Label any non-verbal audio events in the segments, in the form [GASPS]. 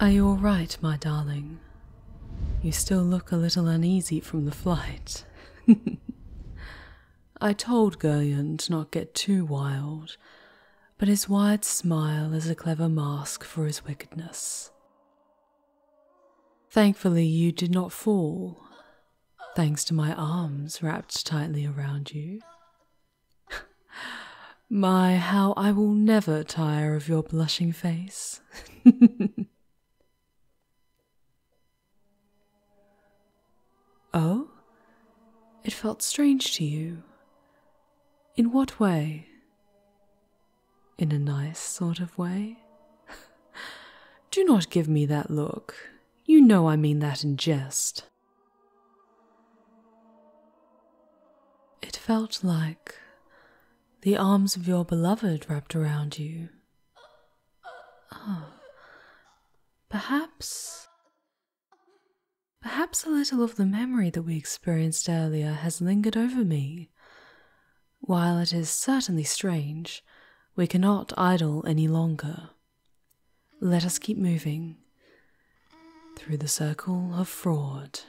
Are you all right, my darling? You still look a little uneasy from the flight. [LAUGHS] I told Gurion to not get too wild, but his wide smile is a clever mask for his wickedness. Thankfully, you did not fall, thanks to my arms wrapped tightly around you. My, how I will never tire of your blushing face. [LAUGHS] oh? It felt strange to you. In what way? In a nice sort of way? [LAUGHS] Do not give me that look. You know I mean that in jest. It felt like the arms of your beloved wrapped around you. Oh, perhaps. Perhaps a little of the memory that we experienced earlier has lingered over me. While it is certainly strange, we cannot idle any longer. Let us keep moving through the circle of fraud,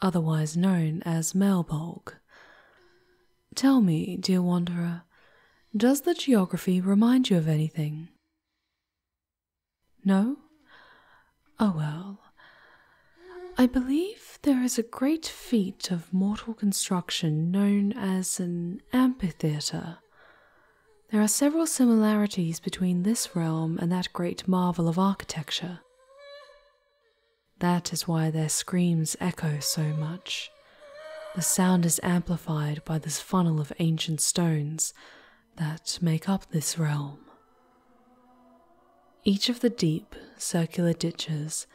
otherwise known as Melbolg. Tell me, dear wanderer, does the geography remind you of anything? No? Oh well. I believe there is a great feat of mortal construction known as an amphitheatre there are several similarities between this realm and that great marvel of architecture. That is why their screams echo so much. The sound is amplified by this funnel of ancient stones that make up this realm. Each of the deep, circular ditches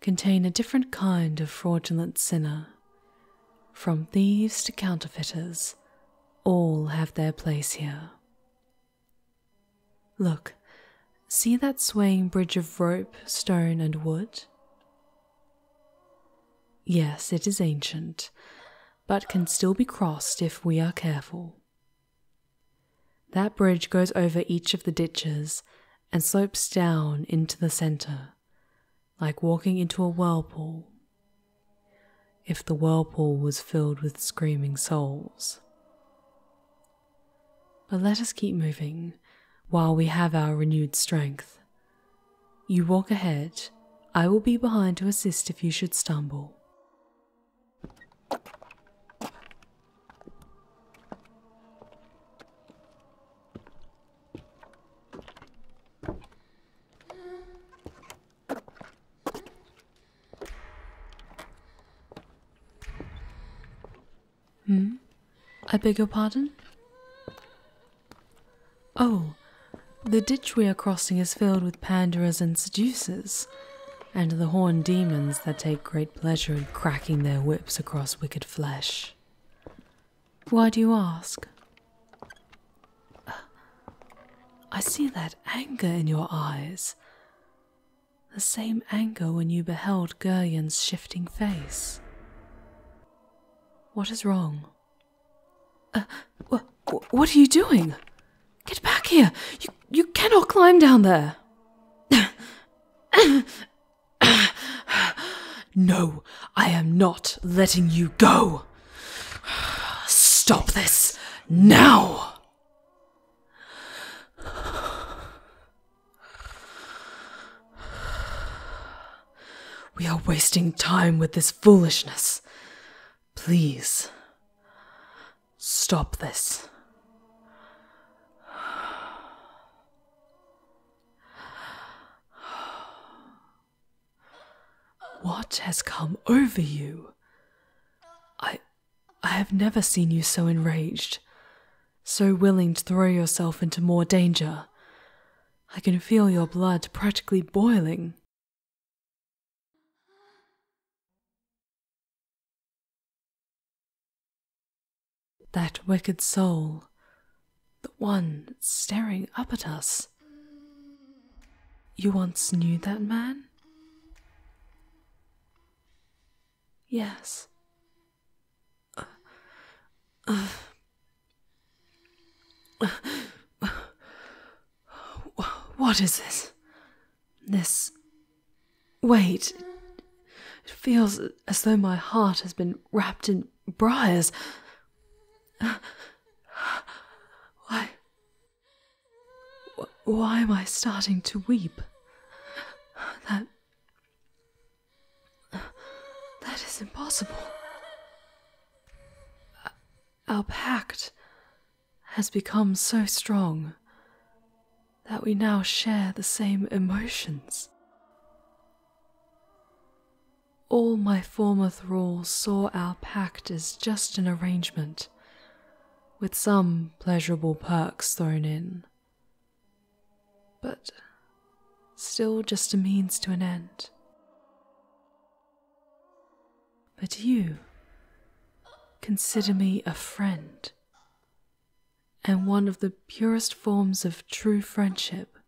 contain a different kind of fraudulent sinner. From thieves to counterfeiters, all have their place here. Look, see that swaying bridge of rope, stone, and wood? Yes, it is ancient, but can still be crossed if we are careful. That bridge goes over each of the ditches and slopes down into the centre like walking into a whirlpool. If the whirlpool was filled with screaming souls. But let us keep moving while we have our renewed strength. You walk ahead, I will be behind to assist if you should stumble. Hmm? I beg your pardon? Oh, the ditch we are crossing is filled with panderers and seducers, and the horned demons that take great pleasure in cracking their whips across wicked flesh. Why do you ask? I see that anger in your eyes. The same anger when you beheld Gurian's shifting face. What is wrong? Uh, what are you doing? Get back here! You, you cannot climb down there! [SIGHS] no, I am not letting you go. Stop this now. We are wasting time with this foolishness. Please, stop this. What has come over you? I I have never seen you so enraged, so willing to throw yourself into more danger. I can feel your blood practically boiling. That wicked soul, the one staring up at us. You once knew that man? Yes. what is this? This. Wait. It feels as though my heart has been wrapped in briars. Why. Why am I starting to weep? That. That is impossible. Our pact has become so strong that we now share the same emotions. All my former thralls saw our pact as just an arrangement, with some pleasurable perks thrown in, but still just a means to an end. But you consider me a friend, and one of the purest forms of true friendship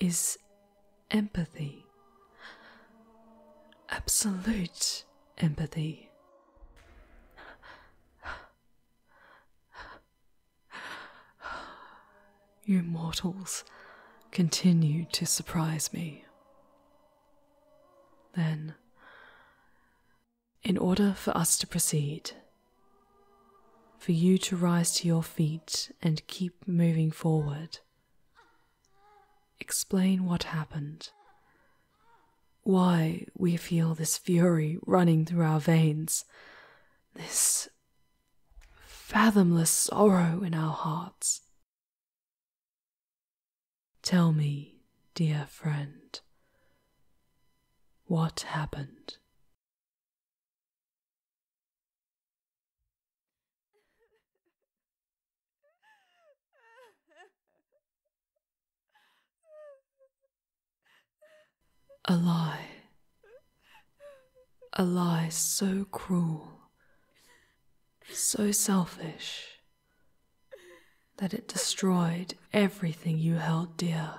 is empathy. Absolute empathy. You mortals continue to surprise me. Then, in order for us to proceed, for you to rise to your feet and keep moving forward, explain what happened, why we feel this fury running through our veins, this fathomless sorrow in our hearts. Tell me, dear friend, what happened? A lie, a lie so cruel so selfish that it destroyed everything you held dear.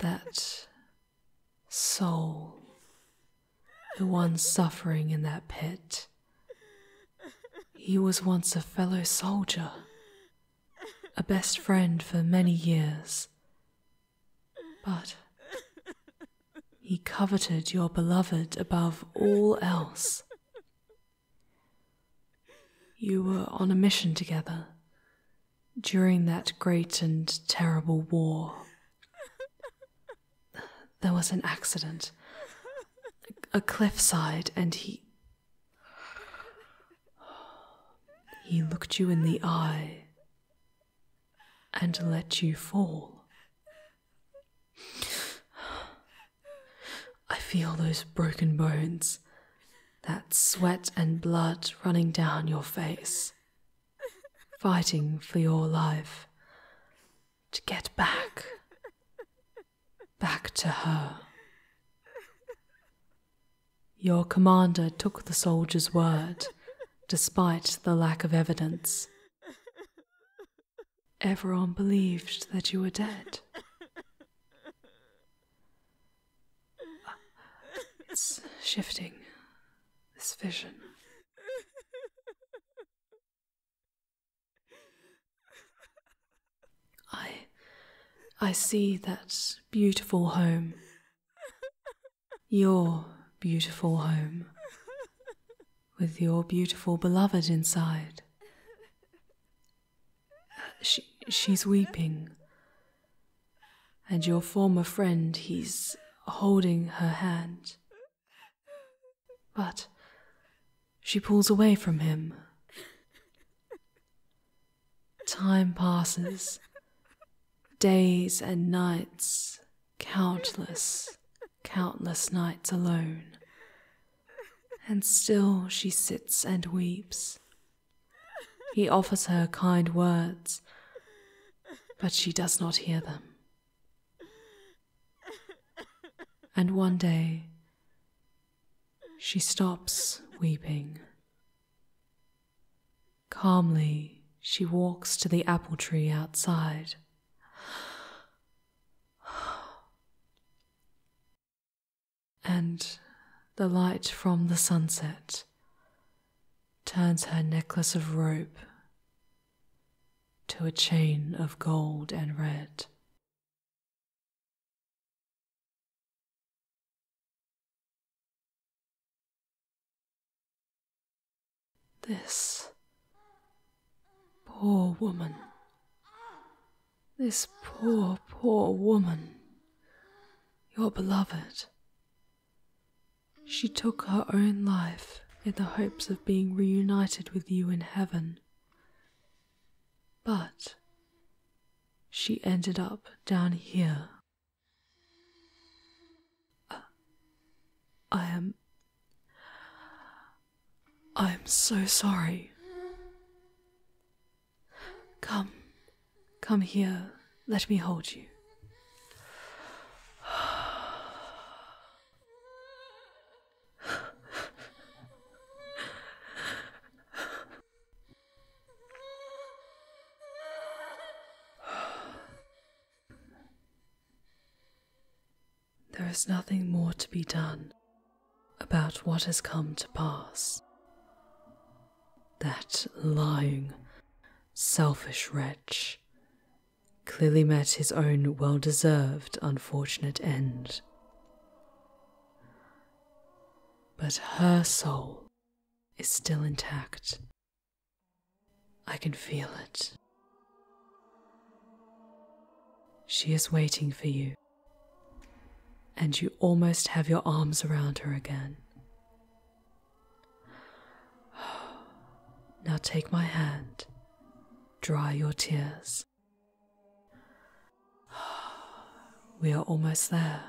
That soul, the one suffering in that pit, he was once a fellow soldier, a best friend for many years, but he coveted your beloved above all else. You were on a mission together during that great and terrible war. There was an accident, a cliffside, and he. He looked you in the eye and let you fall. I feel those broken bones, that sweat and blood running down your face, fighting for your life to get back, back to her. Your commander took the soldier's word, despite the lack of evidence. Everyone believed that you were dead. It's shifting, this vision. I. I see that beautiful home. Your beautiful home. With your beautiful beloved inside. She, she's weeping. And your former friend, he's holding her hand. But she pulls away from him. Time passes, days and nights, countless, countless nights alone. And still she sits and weeps. He offers her kind words, but she does not hear them. And one day, she stops weeping. Calmly, she walks to the apple tree outside. And the light from the sunset turns her necklace of rope to a chain of gold and red. This poor woman. This poor, poor woman. Your beloved. She took her own life in the hopes of being reunited with you in heaven. But she ended up down here. Uh, I am. I am so sorry. Come, come here, let me hold you. [SIGHS] [SIGHS] There is nothing more to be done about what has come to pass. That lying, selfish wretch clearly met his own well deserved unfortunate end. But her soul is still intact. I can feel it. She is waiting for you, and you almost have your arms around her again. [SIGHS] Now take my hand, dry your tears. [SIGHS] We are almost there.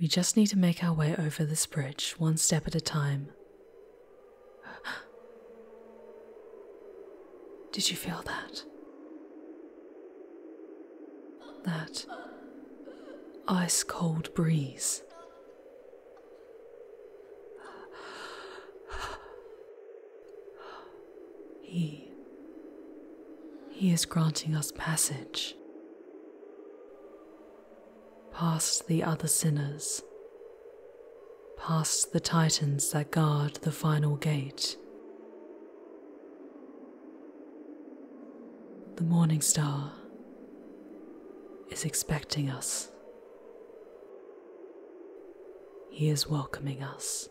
We just need to make our way over this bridge one step at a time. [GASPS] Did you feel that? That ice cold breeze he. He is granting us passage past the other sinners, past the titans that guard the final gate. The morning star is expecting us. He is welcoming us.